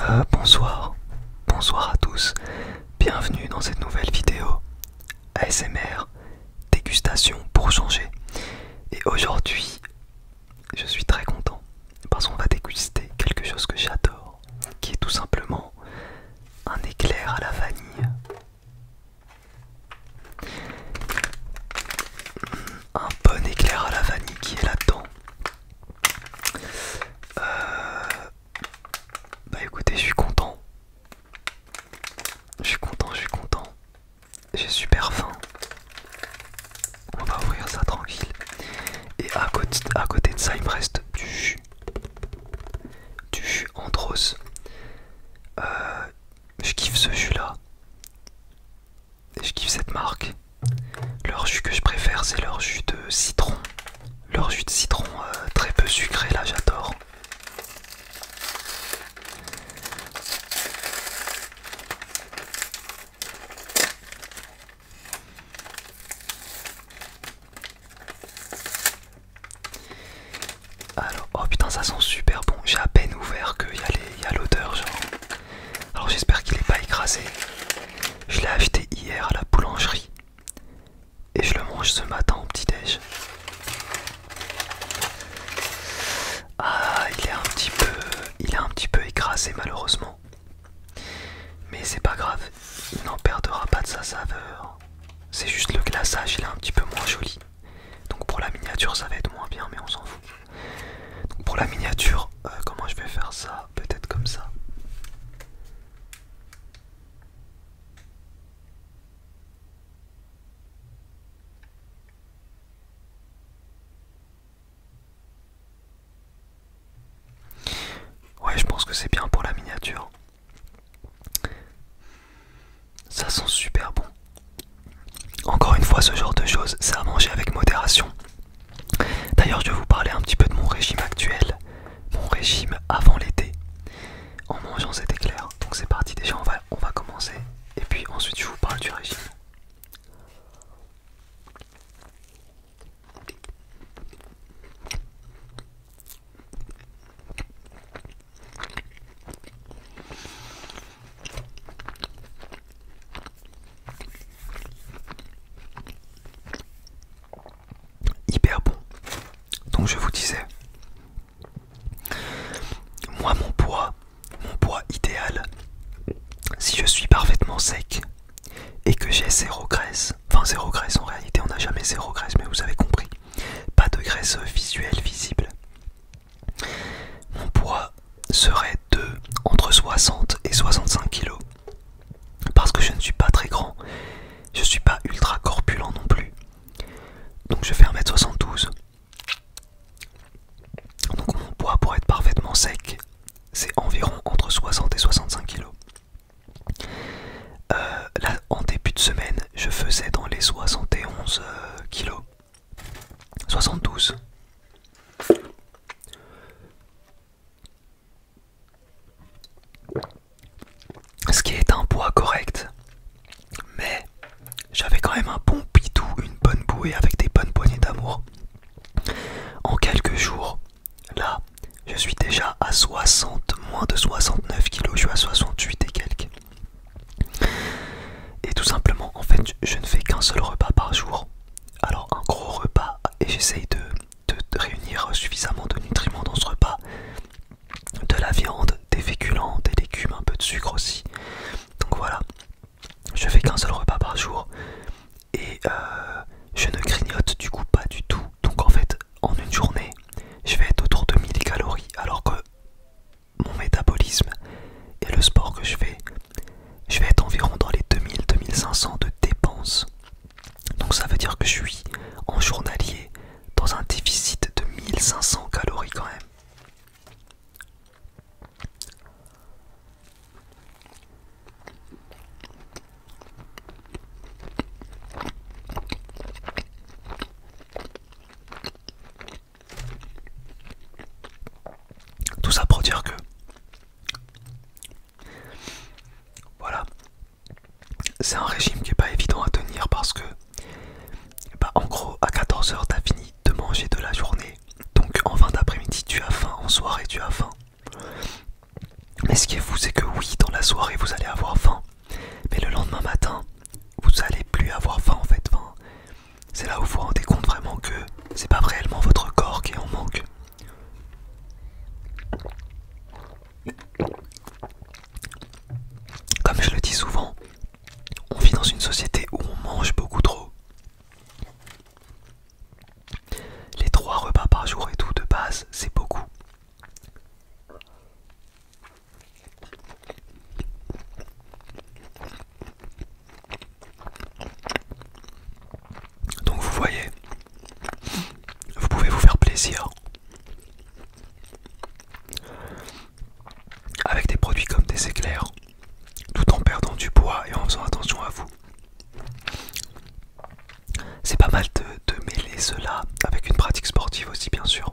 Euh, bonsoir, bonsoir à tous, bienvenue dans cette nouvelle vidéo ASMR, dégustation pour changer. Et aujourd'hui, je suis très content parce qu'on va déguster quelque chose que j'adore, qui est tout simplement un éclair à la vanille. Un bon éclair à la vanille qui est là-dedans. Euh, bah écoutez, je suis content. Je suis content, je suis content. J'ai super faim. On va ouvrir ça tranquille. Et à côté, à côté de ça, il me reste du jus. Du jus Andros. Euh, je kiffe ce jus là. Et je kiffe cette marque. Leur jus que je préfère, c'est leur jus de citron. Leur jus de citron euh, très peu sucré, là j'adore. Alors, oh putain, ça sent super bon. J'ai à peine ouvert qu'il y a l'odeur, genre. Alors j'espère qu'il n'est pas écrasé. Je l'ai acheté hier à la boulangerie et je le mange ce matin au petit-déj. Ah, il est un petit peu, il est un petit peu écrasé malheureusement. Mais c'est pas grave, il n'en perdra pas de sa saveur. C'est juste le glaçage, il est un petit peu moins joli. Donc pour la miniature, ça va être moins bien, mais on s'en fout. pour la miniature, euh, comment je vais faire ça peut-être comme ça. Ouais, je pense que c'est bien pour la miniature. Ça sent super bon. Encore une fois, ce genre de choses, c'est à manger avec modération. D'ailleurs, je vais vous parler un petit peu de mon régime actuel, mon régime avant l'été, en mangeant cet éclair. Donc c'est parti, déjà on va, on va commencer, et puis ensuite je vous parle du régime. Hyper bon. Donc je vous disais, moi mon poids, mon poids idéal, si je suis parfaitement sec et que j'ai zéro graisse, enfin zéro graisse en réalité on n'a jamais zéro graisse mais vous avez compris, pas de graisse visuelle visible, mon poids serait de entre 60 et 65 kg. Parce que je ne suis pas très grand, je ne suis pas ultra corpulent non plus. Donc je fais 1m72. Donc mon poids pour être parfaitement sec, c'est environ entre 60 et 65 kg. Euh, là, en début de semaine, je faisais dans les 71 kg. 72. Ce qui est un poids correct. Mais j'avais quand même un bon pitou, une bonne bouée avec des bonnes poignées d'amour. En quelques jours, là, je suis déjà à 60, moins de 69 kg je suis à 68 et quelques. Et tout simplement, en fait, je ne fais qu'un seul repas par jour. Alors un gros repas et j'essaye de de réunir suffisamment de nutriments dans ce repas. De la viande, des féculents, des légumes, un peu de sucre aussi. Donc voilà, je fais qu'un seul repas par jour et euh, je ne grignote du coup pas du tout. Donc en fait, en une journée, je vais être autour de 1000 calories alors que mon métabolisme et le sport que je fais, je vais être environ dans les 2000-2500 de dépenses donc ça veut dire que je suis en journalier dans un déficit de 1500 calories quand même. Tout ça pour dire que voilà. C'est un régime qui n'est pas évident à tenir parce que, bah, en gros, à 14h, as fini de manger de la journée. Donc, en fin d'après-midi, tu as faim. En soirée, tu as faim. Mais ce qui est fou, c'est que oui, dans la soirée, vous allez avoir faim. Mais le lendemain matin, vous n'allez plus avoir faim en fait. c'est là où vous vous rendez compte vraiment que c'est pas réellement votre corps qui en manque, comme je le dis souvent, on vit dans une société où on mange beaucoup trop. Les trois repas par jour et tout de base, c'est beaucoup. Donc vous voyez, vous pouvez vous faire plaisir avec des produits comme des éclairs, tout en perdant du poids et en faisant attention à vous. C'est pas mal de, mêler cela avec une pratique sportive aussi bien sûr.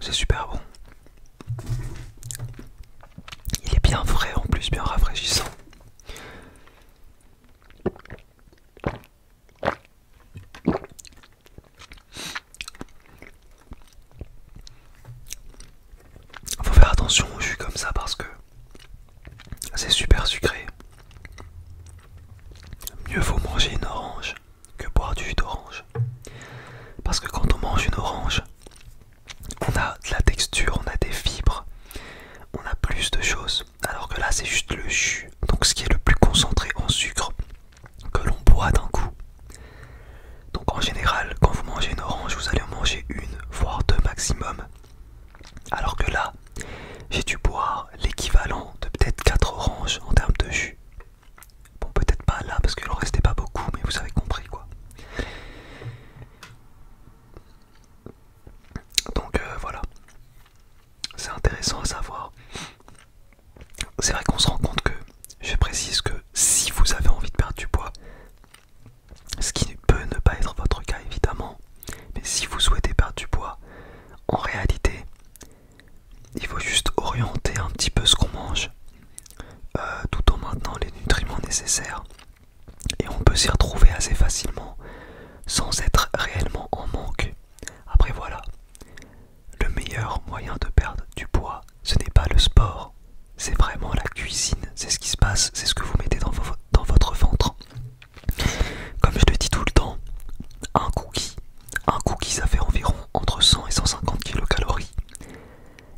C'est super bon. Il est bien frais en plus, bien rafraîchissant. Faut faire attention, je suis comme ça parce que c'est super sucré. Mieux vaut manger une orange que boire du jus d'orange. Parce que quand on mange une orange, on a de la texture, on a des fibres, on a plus de choses. Alors que là, c'est juste le jus, donc ce qui est le plus concentré en sucre que l'on boit d'un coup. Donc en général, quand vous mangez une orange, vous allez en manger une, voire deux maximum. Alors que là, j'ai dû boire l'équivalent de peut-être quatre oranges en termes de jus. Bon, peut-être pas là parce qu'il en restait pas beaucoup, mais vous avez compris quoi. Donc euh, voilà, c'est intéressant à savoir. C'est vrai qu'on se rend compte que, je précise que si vous avez envie de perdre du poids, ce qui peut ne pas être votre cas évidemment, mais si vous souhaitez perdre du poids, en réalité, il faut juste orienter un petit peu ce qu'on mange, euh, tout en maintenant les nutriments nécessaires, et on peut s'y retrouver assez facilement, sans être réellement en manque. Après voilà, le meilleur moyen de perdre du poids, ce n'est pas le sport, c'est vraiment la cuisine, c'est ce qui se passe, c'est ce que vous mettez dans votre ventre. Comme je le dis tout le temps, un cookie, un cookie ça fait environ entre 100 et 150 kilocalories.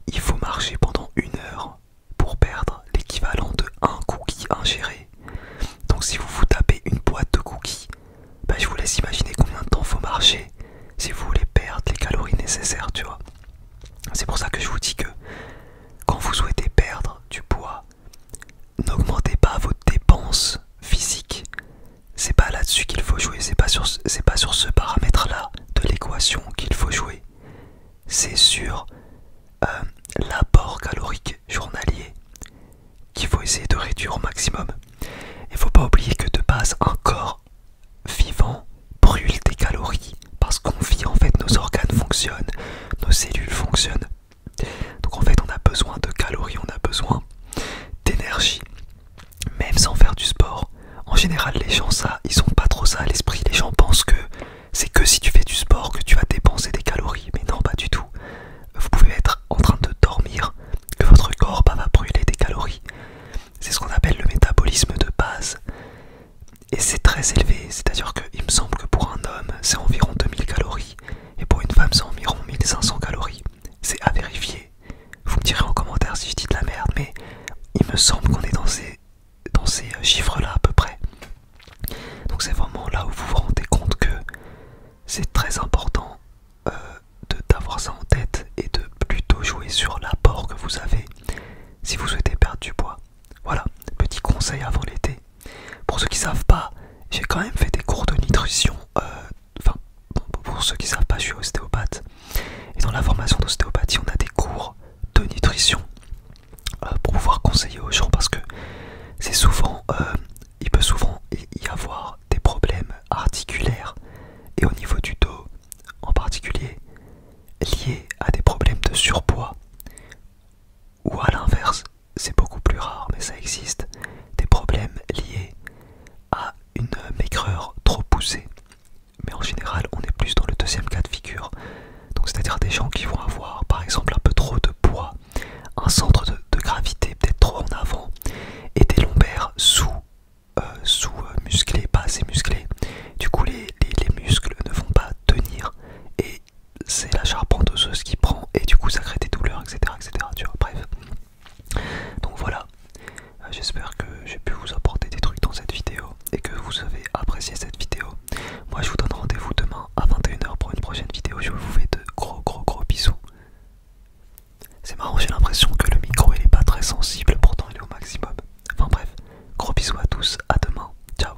Il faut marcher pendant une heure pour perdre l'équivalent de un cookie ingéré. Donc si vous vous tapez une boîte de cookies, bah, je vous laisse imaginer combien de temps faut marcher si vous voulez perdre les calories nécessaires, tu vois. C'est pour ça que je vous dis que quand vous souhaitez perdre du poids, n'augmentez pas vos dépenses physiques. C'est pas là-dessus qu'il faut jouer, c'est pas sur pas sur ce paramètre-là de l'équation qu'il faut jouer. C'est sur euh, l'apport calorique journalier qu'il faut essayer de réduire au maximum. Il faut pas oublier que de base un corps vivant brûle des calories parce qu'on vit en fait nos organes fonctionnent, nos cellules fonctionnent donc en fait on a besoin de calories, on a besoin d'énergie, même sans faire du sport. En général les gens ça, ils sont pas trop ça à l'esprit. Les gens pensent que c'est que si tu fais du sport que tu vas dépenser des calories. Mais non pas du tout. Vous pouvez être en train de dormir, que votre corps va brûler des calories. C'est ce qu'on appelle le métabolisme de base. Et c'est très élevé, c'est-à-dire que il me semble que pour un homme, c'est environ 2000 calories, et pour une femme, c'est environ 1500 calories. C'est à vérifier. Vous me direz en commentaire si je dis de la merde, mais il me semble qu'on est dans ces, euh, chiffres-là à peu près. Donc c'est vraiment là où vous vous rendez compte que c'est très important euh, d'avoir ça en tête et de plutôt jouer sur l'apport que vous avez si vous souhaitez perdre du poids. Voilà, petit conseil avant l'été. Pour ceux qui savent pas, j'ai quand même fait des cours de nutrition. Euh, enfin, pour ceux qui savent pas, je suis ostéopathe. Et dans la formation d'ostéopathie, on a des cours de nutrition euh, pour pouvoir conseiller aux gens parce que c'est souvent, euh, il peut souvent y avoir des problèmes articulaires et au niveau du dos en particulier liés à des problèmes de surpoids ou à l'inverse, c'est beaucoup plus rare, mais ça existe, des problèmes liés à une maigreur trop poussée. Mais en général, on est plus dans le deuxième cas de figure. Donc c'est-à-dire des gens qui vont avoir par exemple un peu trop de poids, un centre de, gravité peut-être trop en avant, et des lombaires sous, euh, sous euh, musclés, pas assez musclés. Du coup les, les muscles ne vont pas tenir et c'est la charpente osseuse qui prend et du coup ça crée des douleurs, etc. etc. Tu vois, bref. Donc voilà, euh, j'espère que j'ai pu vous apporter des trucs dans cette vidéo et que vous avez apprécié cette vidéo. Moi je vous donne rendez-vous demain à 21h pour une prochaine vidéo. Je vous fais de gros gros gros bisous. C'est marrant, j'ai l'impression que le micro il est pas très sensible, pourtant il est au maximum. Enfin bref, gros bisous à tous, à demain, ciao